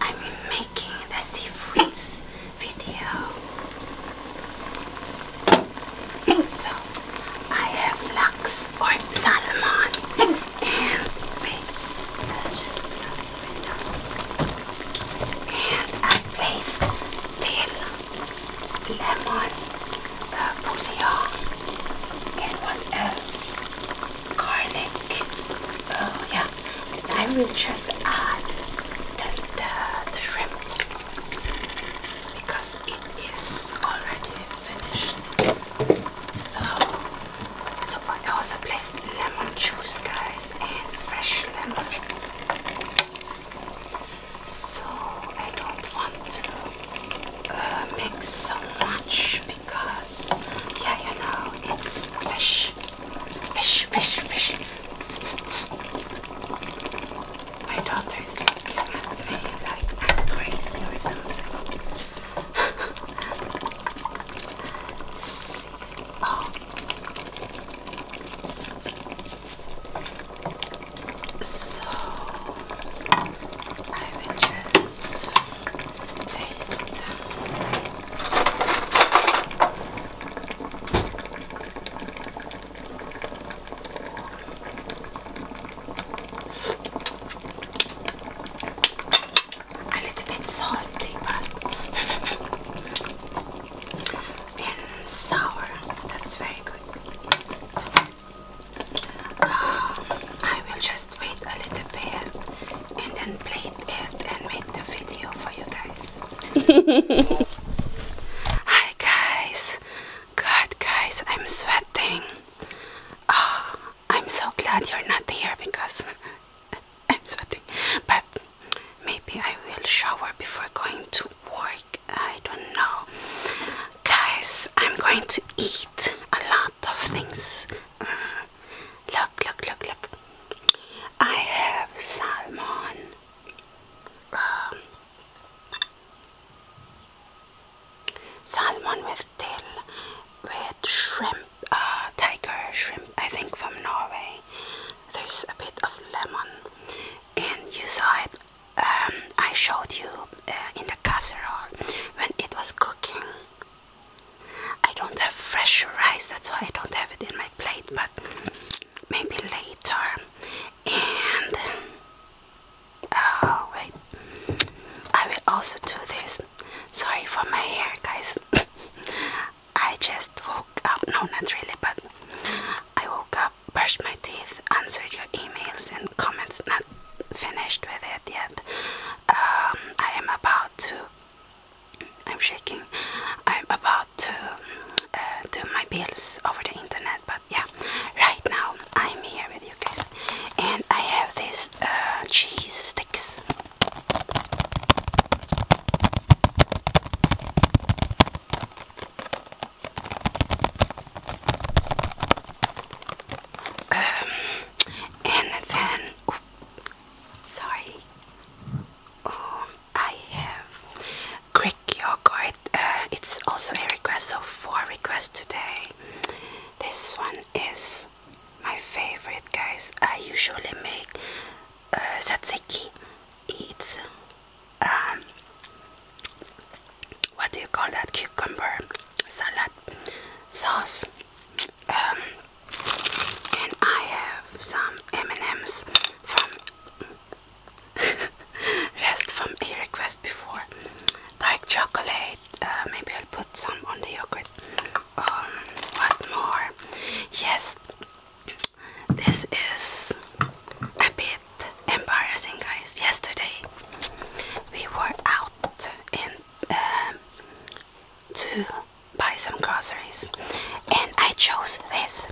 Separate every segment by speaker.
Speaker 1: I'm making the seafoods video. So I have lux or salmon and I'll the lemon, the bouillon, and what else? garlic. Oh yeah, I will just add the, the, the shrimp because it is already finished. So, so I also placed lemon juice, guys, and fresh lemon. So I don't want to uh, mix so much because, yeah, you know, it's fish. Fish, fish, fish. My daughter is looking at me like crazy or something. Oh. So, I will just taste. A little bit salty, but and sour. That's very good. Uh, I will just wait a little bit and then plate it and make the video for you guys. Hi guys, God guys, I'm sweating. Oh, I'm so glad you're not here because I'm sweating. But maybe I will shower before going to work. I don't know. Guys, I'm going to eat a lot of things. Mm. Look, look, look, look. I have salmon. Um, salmon with til, with shrimp, uh, tiger shrimp, I think from Norway. There's a bit of lemon, and you saw it. Um, I showed you uh, in the casserole when it was cooking. I don't have fresh rice, that's why I don't have it in my plate, but maybe later. And oh, wait, I will also do this. Sorry for my hair, guys. I just woke up, no, not really, but I woke up, brushed my teeth, answered your emails and comments, not finished with it yet. Um, I am about to I'm shaking. I'm about to uh, do my bills over the internet, but yeah, right now I'm here with you guys, and I have these uh, cheese sticks. Um, and then, Sorry. Um, I have Greek yogurt. Uh, it's also a request, so four requests today. This one is my favorite, guys. I usually make uh, It's um, what do you call that? Cucumber salad sauce. Um, and I have some M&Ms from rest from a request before. Dark chocolate. Uh, maybe I'll put some on the yogurt. Um, what more? Yes, this is a bit embarrassing, guys. Yesterday we were out in um, to buy some groceries and I chose this.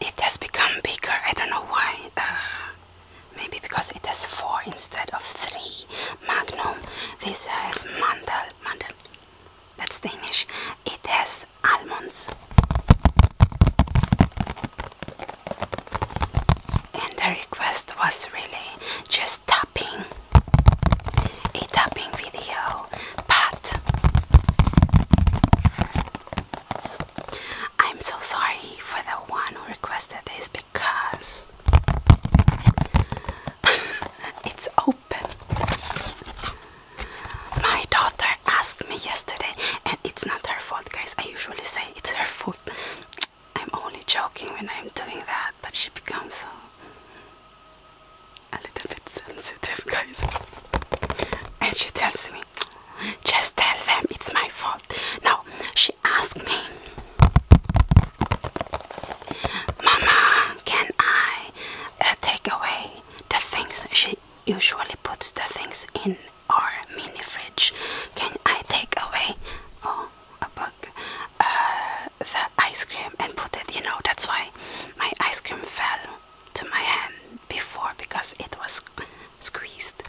Speaker 1: It has become bigger, I don't know why. Uh, maybe because it has four instead of three. Magnum. This has mandel. Mandel. That's Danish. It has almonds and the request was really just tapping a tapping video but I'm so sorry for the one who requested this because it's open my daughter asked me yesterday, and it's not her fault, guys. I usually say it's her fault. I'm only joking when I'm doing that, but she becomes a, little bit sensitive, guys. And she tells me, just tell them it's my fault. Now, she asked me, Mama, can I uh, take away the things she usually puts the things in our mini fridge. Can I take away? Oh, a bug. Uh, the ice cream and put it. You know that's why my ice cream fell to my hand before because it was squeezed.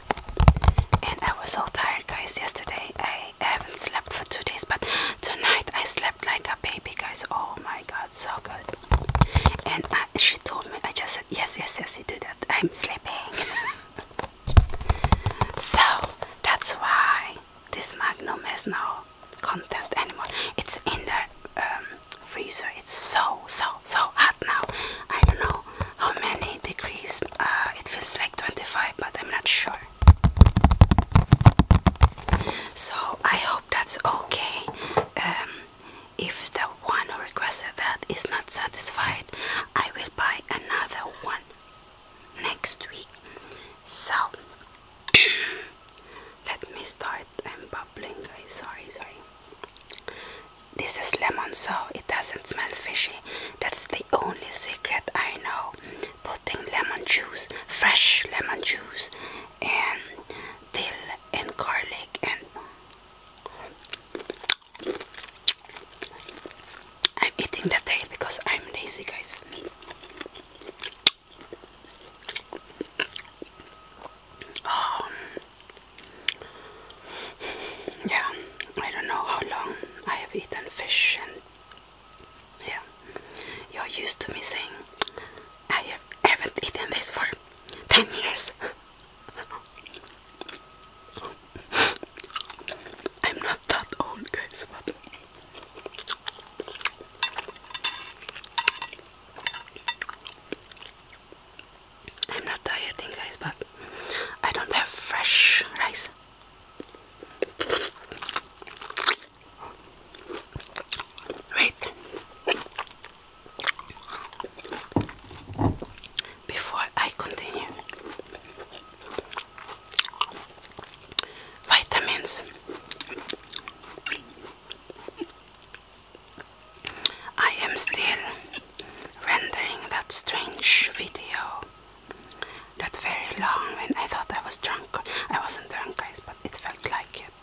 Speaker 1: And I was so tired, guys. Yesterday I haven't slept for two days, but tonight I slept like a baby, guys. Oh my God, so good. And she told me, I just said, Yes, yes, yes, you do that. I'm sleeping. so that's why this Magnum has no content anymore. It's in the um, freezer. It's so, so, so hot now. I don't know how many degrees. Uh, it feels like 25, but I'm not sure. So I hope that's okay. Um, if the one who requested that is not satisfied, I will buy another one next week. So let me start. I'm bubbling, guys. Sorry, sorry. This is lemon, so it doesn't smell fishy. That's the only secret I know. Putting lemon juice, fresh lemon juice, and dill and garlic and I'm eating the tail because I'm lazy guys um, yeah I don't know how long I have eaten fish and yeah you're used to me saying I have, haven't eaten this for 10 years. I'm not that old, guys, but I'm not dieting, guys, but I don't have fresh rice. Wait, before I continue, vitamins. I am still rendering that strange video. That very long when I thought I was drunk. I wasn't drunk, guys, but it felt like it.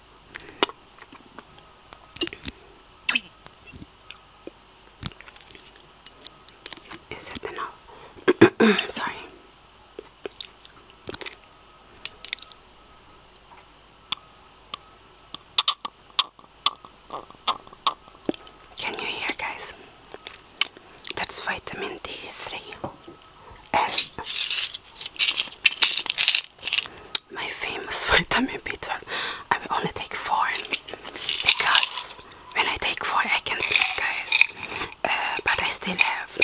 Speaker 1: Is it enough? Sorry. Can you hear, guys? That's vitamin D3. L my famous vitamin B12. I will only take four because when I take four, I can sleep, guys. Uh, but I still have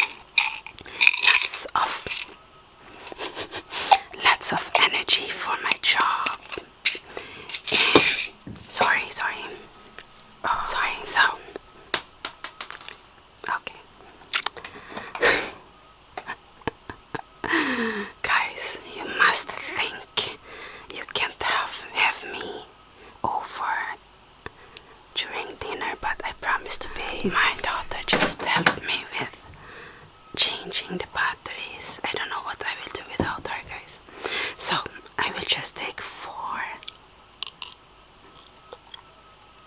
Speaker 1: lots of lots of energy for my job. sorry, sorry, sorry. So, okay. Guys, you must think you can't have, have me over during dinner, but I promise to be. My daughter just helped me with changing the batteries. I don't know what I will do without her, guys. So I will just take four.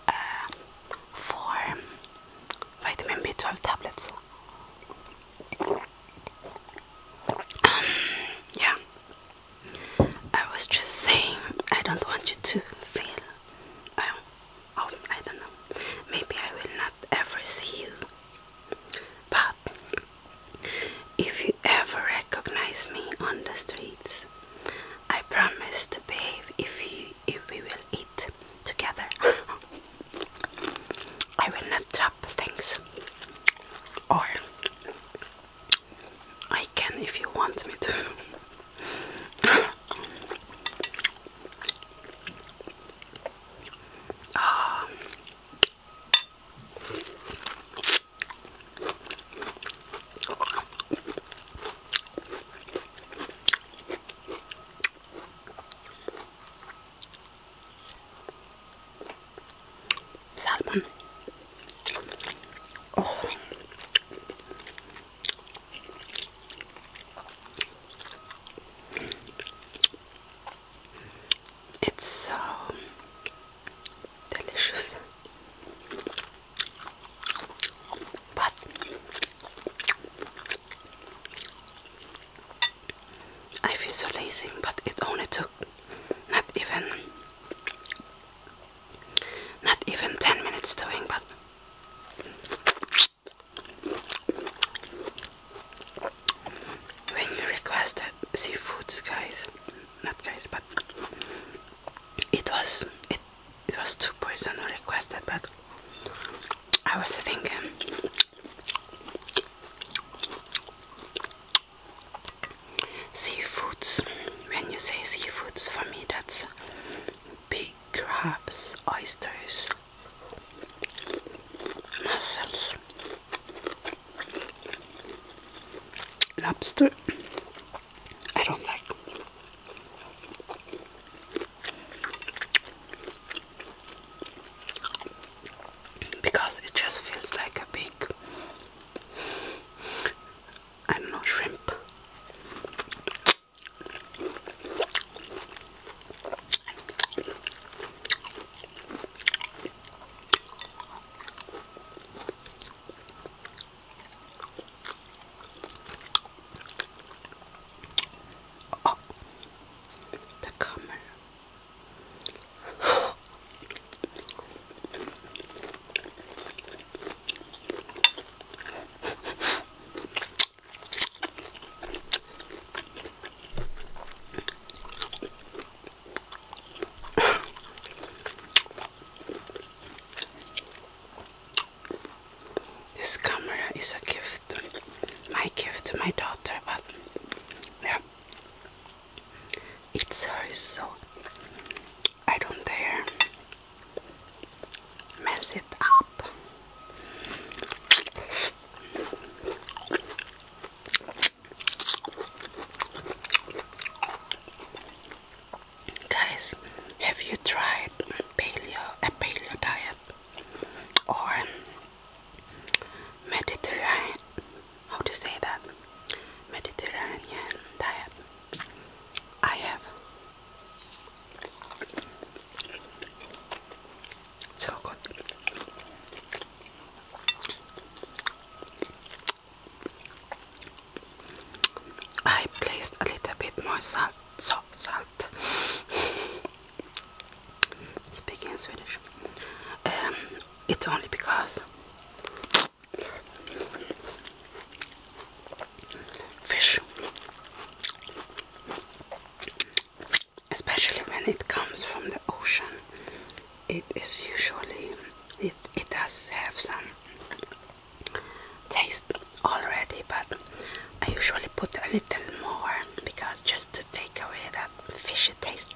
Speaker 1: Uh, four vitamin B12 tablets. Um, yeah, I was just saying, I don't want you to feel. Um, oh, I don't know. Maybe I will not ever see you. But if you ever recognize me on the streets, I promise to behave if you if we will eat together. I will not drop things. Or I can if you want me to. Um, Salmon. Oh. It's so delicious but I feel so lazy, but it only took not even not even 10 minutes doing, but when you requested seafoods, guys, not guys, but it was it it was too personal requested, but I was thinking seafoods. When you say seafoods, for me that's big crabs, oysters, mussels, lobster. I don't like because it just feels like a big I know shrimp Oh, the camera. this camera is a gift my gift to my daughter, but yeah, it's hers, so I don't dare mess it up. Guys, have you tried paleo a paleo diet? or Mediterranean how to say that Mediterranean diet I have so good I placed a little bit more salt, salt, salt Speaking in Swedish, um, it's only because fish, especially when it comes from the ocean, it is usually it it does have some taste already, but I usually put a little more because just to take away that fishy taste.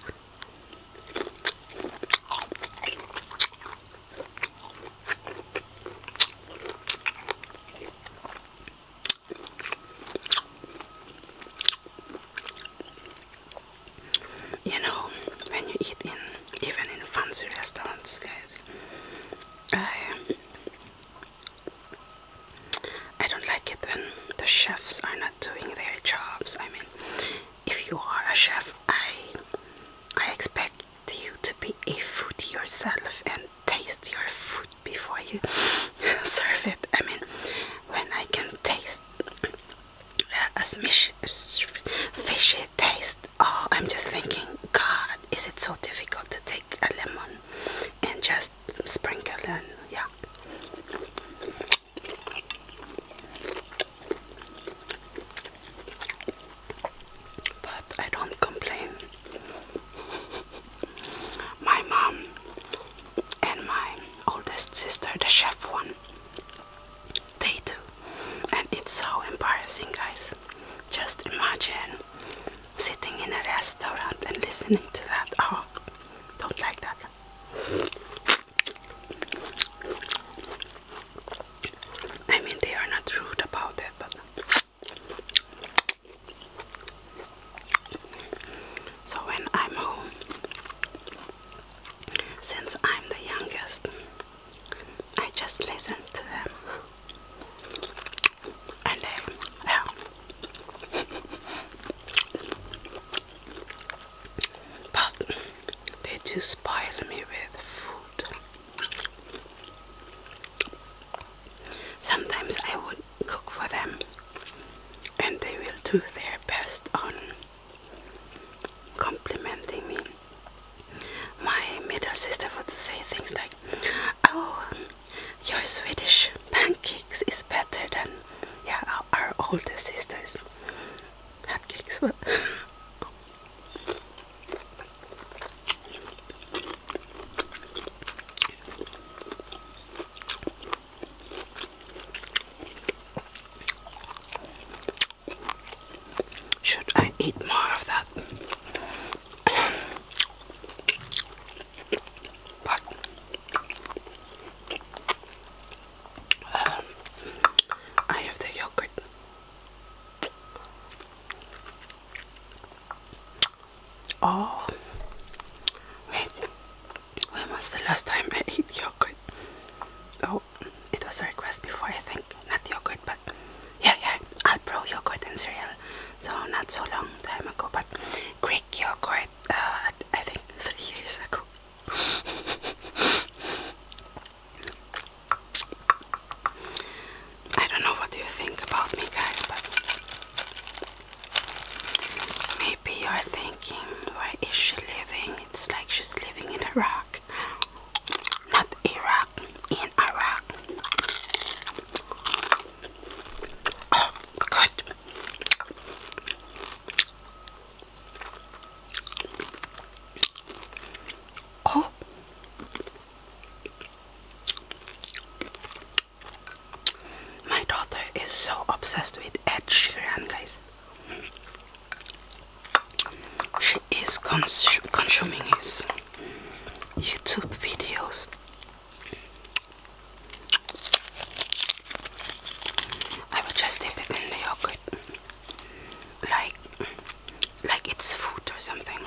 Speaker 1: You know, when you eat in even in fancy restaurants, guys, I don't like it when the chefs are not doing their jobs. I mean, if you are a chef, I I expect you to be a foodie yourself and taste your food before you serve it. I mean, when I can taste uh, a smish fishy taste, oh, I'm just thinking, God, is it so difficult to take a lemon and just sprinkle in. Yeah. But I don't complain. My mom and my oldest sister, the chef one, they do. And it's so embarrassing, guys. Just imagine sitting in a restaurant and listening to that. Oh, don't like that. I mean, they are not rude about it, but. So when I'm home, since I'm the youngest, I just listen to them and then yeah. But they do spoil me with food. Sometimes I would cook for them and they will do their best on complimenting me. My middle sister would say things like, Oh, your Swedish pancakes is better than yeah our, older sisters pancakes. Well. Should I eat more of that? But um, I have the yogurt. Oh, wait, when was the last time I ate yogurt? Oh, it was a request before, I think. Not yogurt, but yeah, yeah, I Alpro yogurt and cereal. So not so long time ago, but Greek yogurt. Uh, I think three years ago. I don't know what you think about me, guys, but maybe you're thinking, where is she living? It's like she's living in Iraq, not Iraq, in Iraq. Oh, good. Oh. My daughter is so obsessed with Ed Sheeran, guys. She is consuming his YouTube videos. I will just dip it in the yogurt, like, like it's food or something.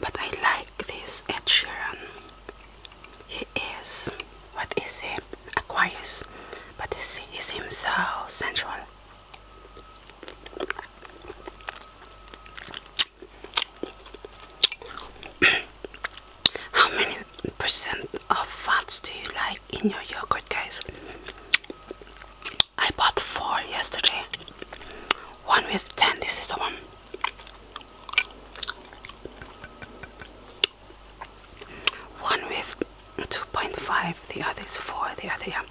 Speaker 1: but I like this Ed Sheeran. He is, what is he? Aquarius, but he's, he's so sensual. How many percent of fats do you like in your yogurt, guys? I bought four yesterday. One with 10, this is the one. One with 2.5 the others is four, the other, yeah.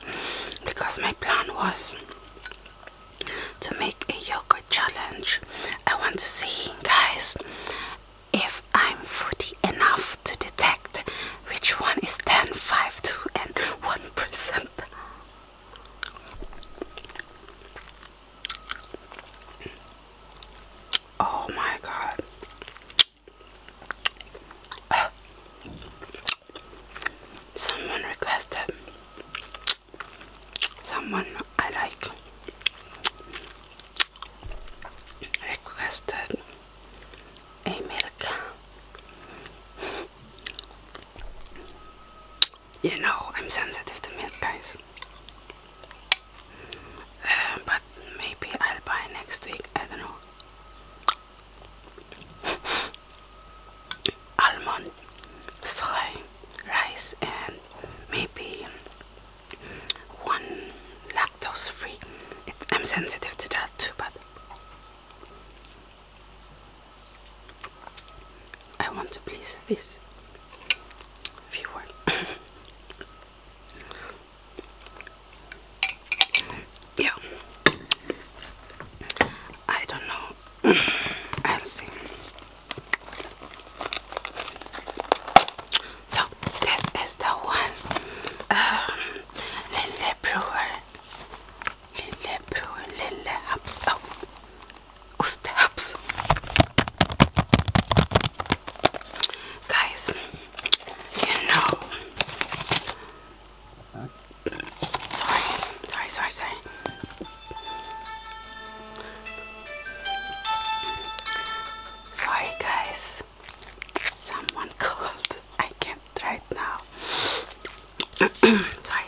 Speaker 1: Because my plan was to make a yogurt challenge. I want to see, guys, if I'm foodie enough to detect which one is 10, 5, 2, and 1%. Oh my god someone requested someone I like requested a milk you know I'm sensitive to milk guys uh, but maybe I'll buy next week I don't know almond, soy, rice, and maybe one lactose free. I'm sensitive to that too, but I want to please this viewer. yeah I don't know I'll see so this is the one um, Lille Brewer Lille Brewer Lille Hubs oh Oost guys you know Sorry, sorry, sorry, sorry. Sorry, guys. Someone called. I can't right now. sorry.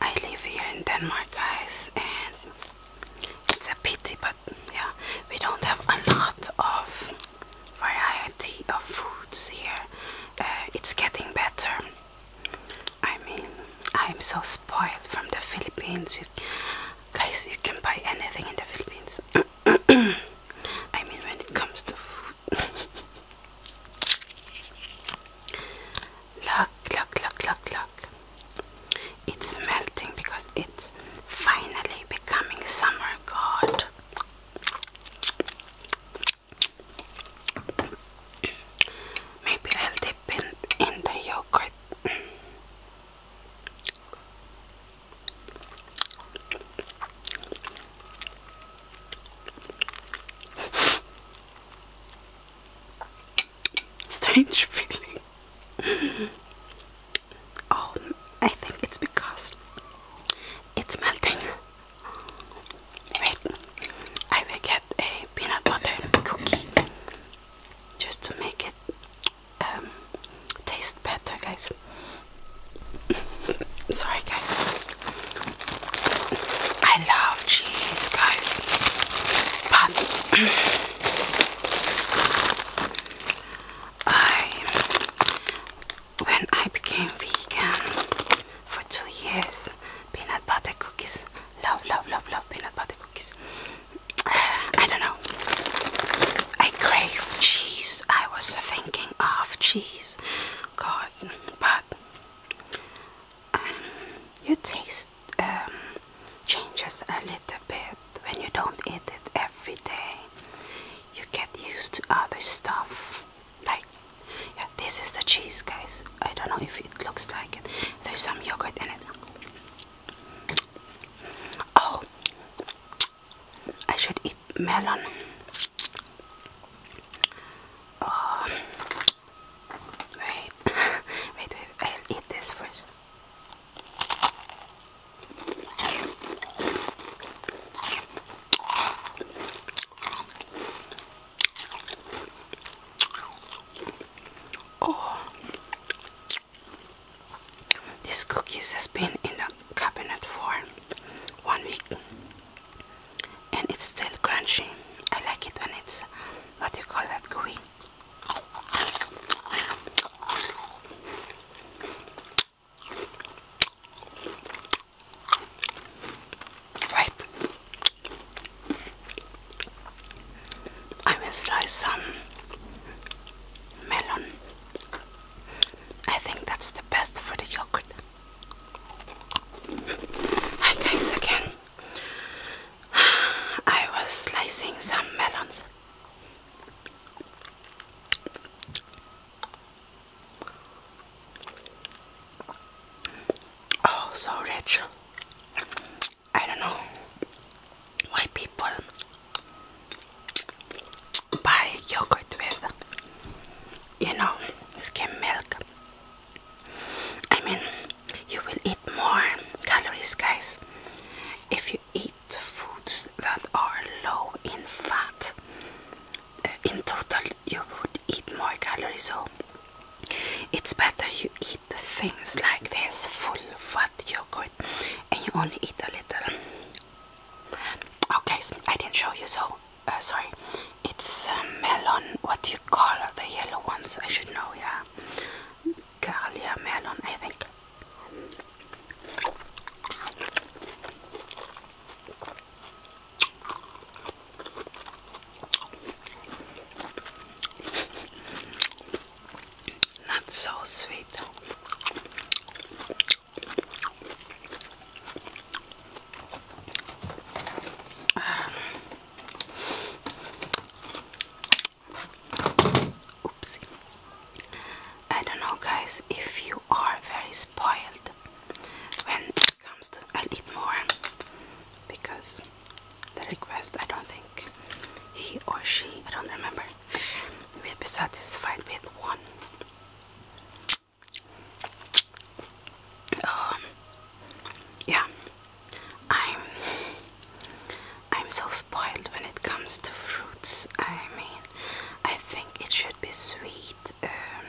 Speaker 1: I live here in Denmark, guys, and it's a pity, but yeah, we don't have a lot of variety of foods here. Uh, it's getting better. I mean, I'm so spoiled from the Philippines. You, guys, you can buy anything in the Philippines. I mean, when it comes to food. look, look, look, look, look. It's melting because it's finally becoming summer. God, Maybe I'll dip it in the yogurt. Strange feeling. Oh, I think it's because it's melting. Wait, I will get a peanut butter cookie just to make it um, taste better, guys. Sorry, guys. I love cheese, guys, but I, when I became vegan for two years, peanut butter cookies, love, love, love, love peanut butter cookies. I don't know. I crave cheese. I was thinking of cheese, God, but um, your taste um, changes a little bit when you don't eat it every day you get used to other stuff like yeah this is the cheese guys I don't know if it looks like it there's some yogurt in it oh I should eat melon oh, wait wait I'll eat this first Oh, these cookies has been in the cabinet for one week, and it's still crunchy. I like it when it's what you call that gooey. Right. I will slice some melon. I think that's the best for the yogurt. Hi guys again. I was slicing some melons. Oh, so rich. I don't know why people buy yogurt with, you know, skim milk. I mean, you will eat more calories, guys, if you eat eat foods that are low in fat. Uh, in total, you would eat more calories, so it's better you eat things like this full fat yogurt and you only eat a little. Okay, I didn't show you, so uh, sorry. It's um, melon, what do you call the yellow ones? I should know, yeah. Galia melon, I think. Not so sweet. Um. Oopsie. I don't know, guys, if you are very spoiled when it comes to. I'll eat more because the request, I don't think he or she, I don't remember, will be satisfied with one. Um, yeah, I'm I'm so spoiled when it comes to fruits. I mean, I think it should be sweet um,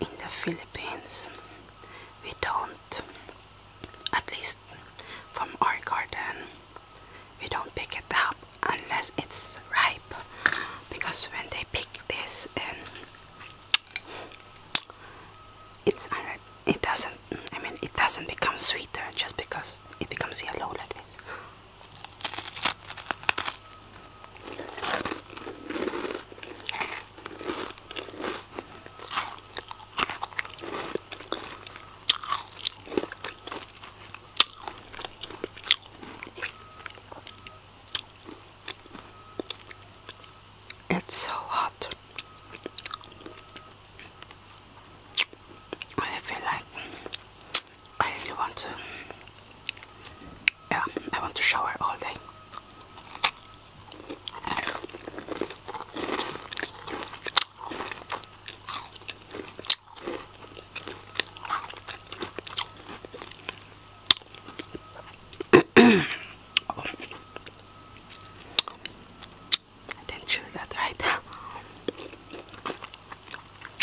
Speaker 1: in the Philippines. We don't, at least from our garden, we don't pick it up unless it's ripe. Because when they pick this, and it's It doesn't. I mean, it doesn't become sweeter just because it becomes yellow like this. It's so hot. I feel like I really want to yeah I want to shower all day I didn't chew that right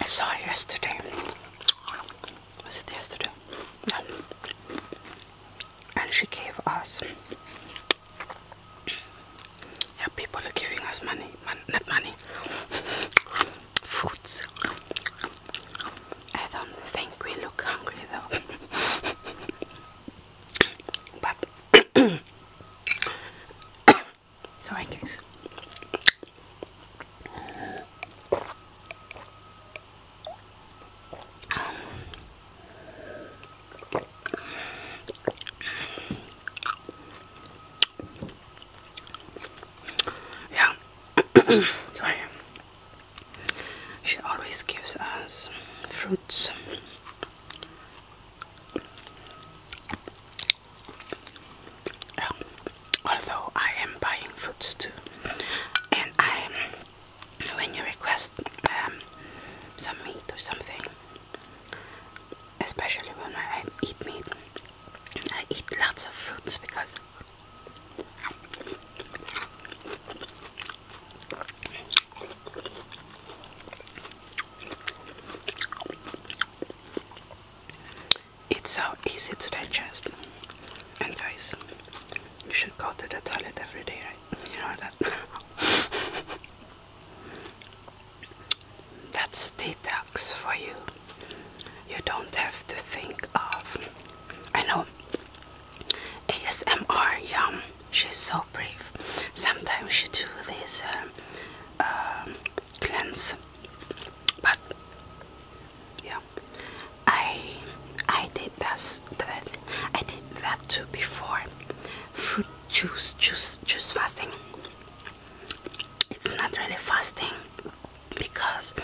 Speaker 1: I saw it yesterday. Was it yesterday? And she gave us. Yeah, people are giving us money. not money. Foods. I don't think we look hungry though. but Sorry, guys. yeah, sorry. She always gives us fruits although I am buying foods too, and I, when you request um, some meat or something, especially when I eat meat, I eat lots of fruits because it's so easy to digest and guys you should go to the toilet every day right you know that that's detox for you you don't have to think of I know ASMR yum she's so brave sometimes she do this uh, um, uh, cleanse but yeah i i did that i did that too before fruit juice juice juice fasting it's not really fasting because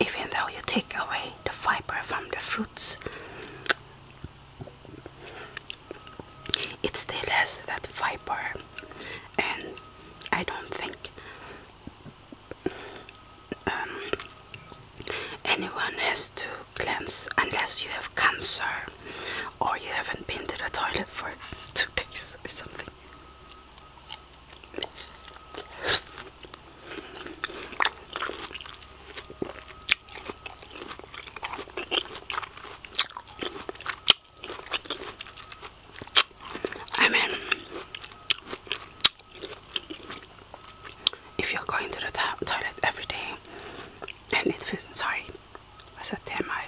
Speaker 1: even though you take away the fiber from the fruits it still has that fiber and I don't think um, anyone has to cleanse unless you have cancer or you haven't been to the toilet for two days or something. I mean, if you're going to the to toilet every day and it feels sorry, I said, damn, I.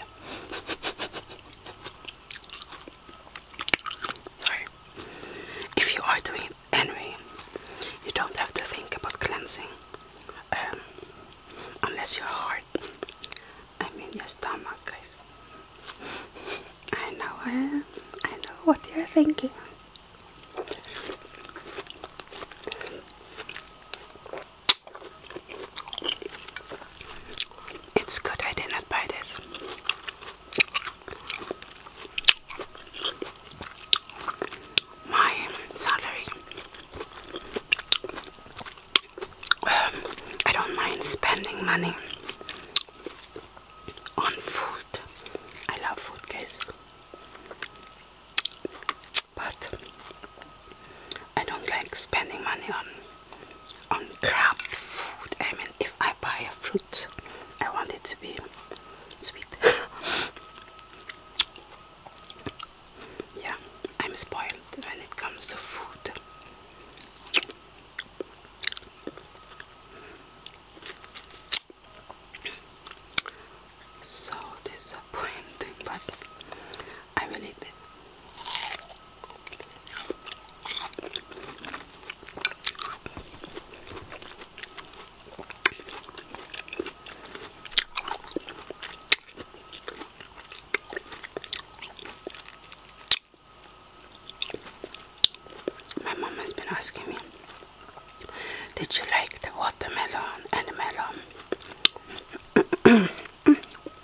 Speaker 1: Sorry. If you are doing it anyway, you don't have to think about cleansing um, unless you're hard heart. I mean your stomach, guys. I know, I, eh? I know what you're thinking. It's good I did not buy My salary I don't mind spending money on food. I love food, guys. But I don't like spending money on on crap food. I mean, if I buy a fruit, I want it to be sweet. yeah, I'm spoiled when it comes to food. So disappointing, but I really did. My mom has been asking me, Did you like the watermelon and the melon?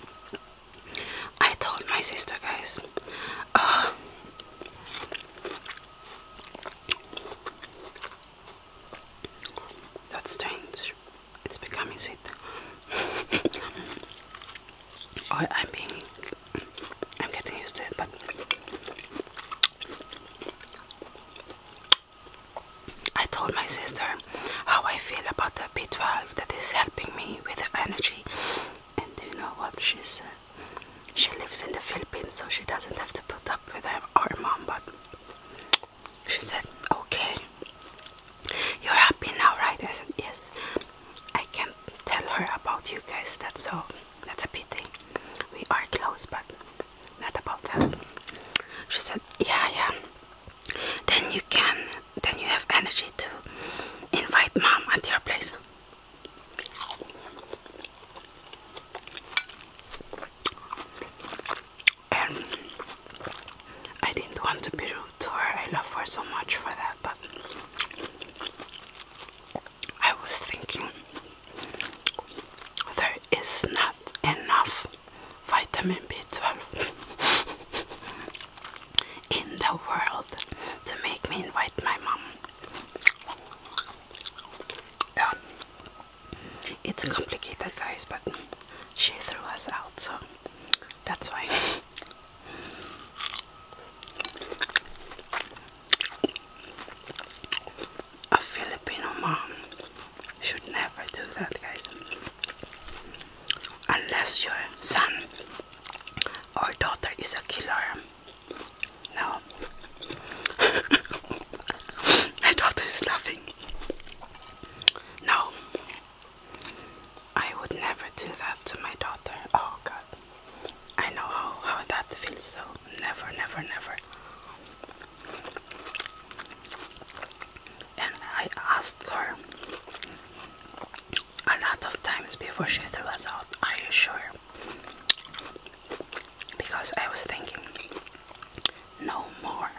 Speaker 1: I told my sister, guys, ah. that's strange. It's becoming sweet. I, am being, I'm getting used to it, but I told my sister how I feel about the B12 that is helping me with the energy. And do you know what she said? Uh, she lives in the Philippines, so she doesn't have to put up with her, her mom, but she said, okay. You're happy now, right? I said, Yes. I can't tell her about you guys. That's so that's a pity. We are close but not about that. She said, Yeah, yeah. Then you can then you have energy to invite mom at your place. And I didn't want to be rude to her. I love her so much for that, but I was thinking there is not enough vitamin B12 in the world to make me invite my mom. It's complicated, guys, but she threw us out, so that's why a Filipino mom should never do that, guys. Unless your son or daughter is a killer. No. My daughter is laughing. No, I would never do that to my daughter. Oh God, I know how how that feels. So never, never, never. And I asked her a lot of times before she threw us out. Are you sure? Because I was thinking, no more.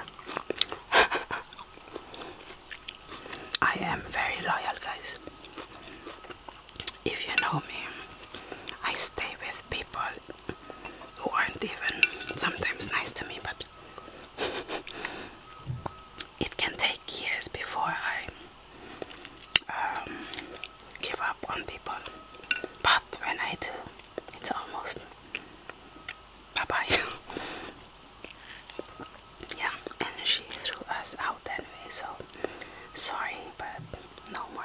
Speaker 1: I am very loyal, guys. If you know me, I stay with people who aren't even sometimes nice to me, but it can take years before I um, give up on people. But when I do, it's almost bye bye. yeah, and she threw us out that way, so sorry, but no more.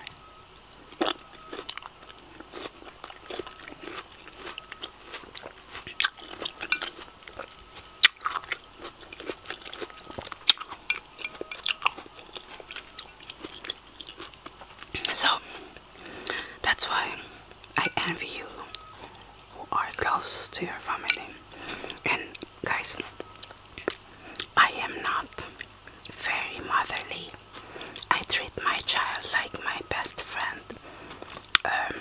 Speaker 1: So that's why I envy you who are close to your family. And guys, I am not very motherly. I treat my child like my best friend. Um,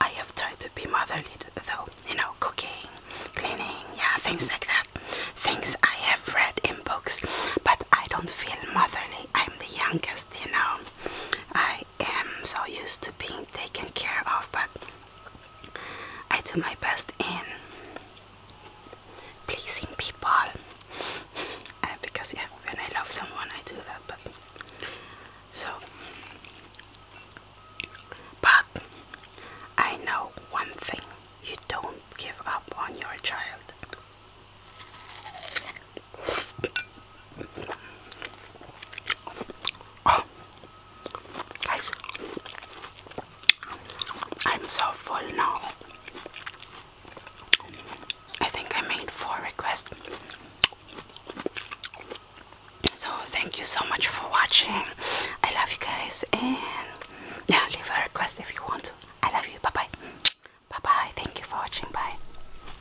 Speaker 1: I have tried to be motherly though, you know, cooking, cleaning, yeah, things like that. Things I have read in books, but I don't feel motherly. I'm the youngest, you know. I am so used to being taken care of, but I do my best in pleasing people because yeah, when I love someone, I do that. But so, but I know one thing: you don't give up on your child. Ah. guys, I'm so full now. I think I made four requests. So, thank you so much for watching. I love you guys, and yeah, leave a request if you want to. I love you. Bye bye. Bye bye. Thank you for watching. Bye.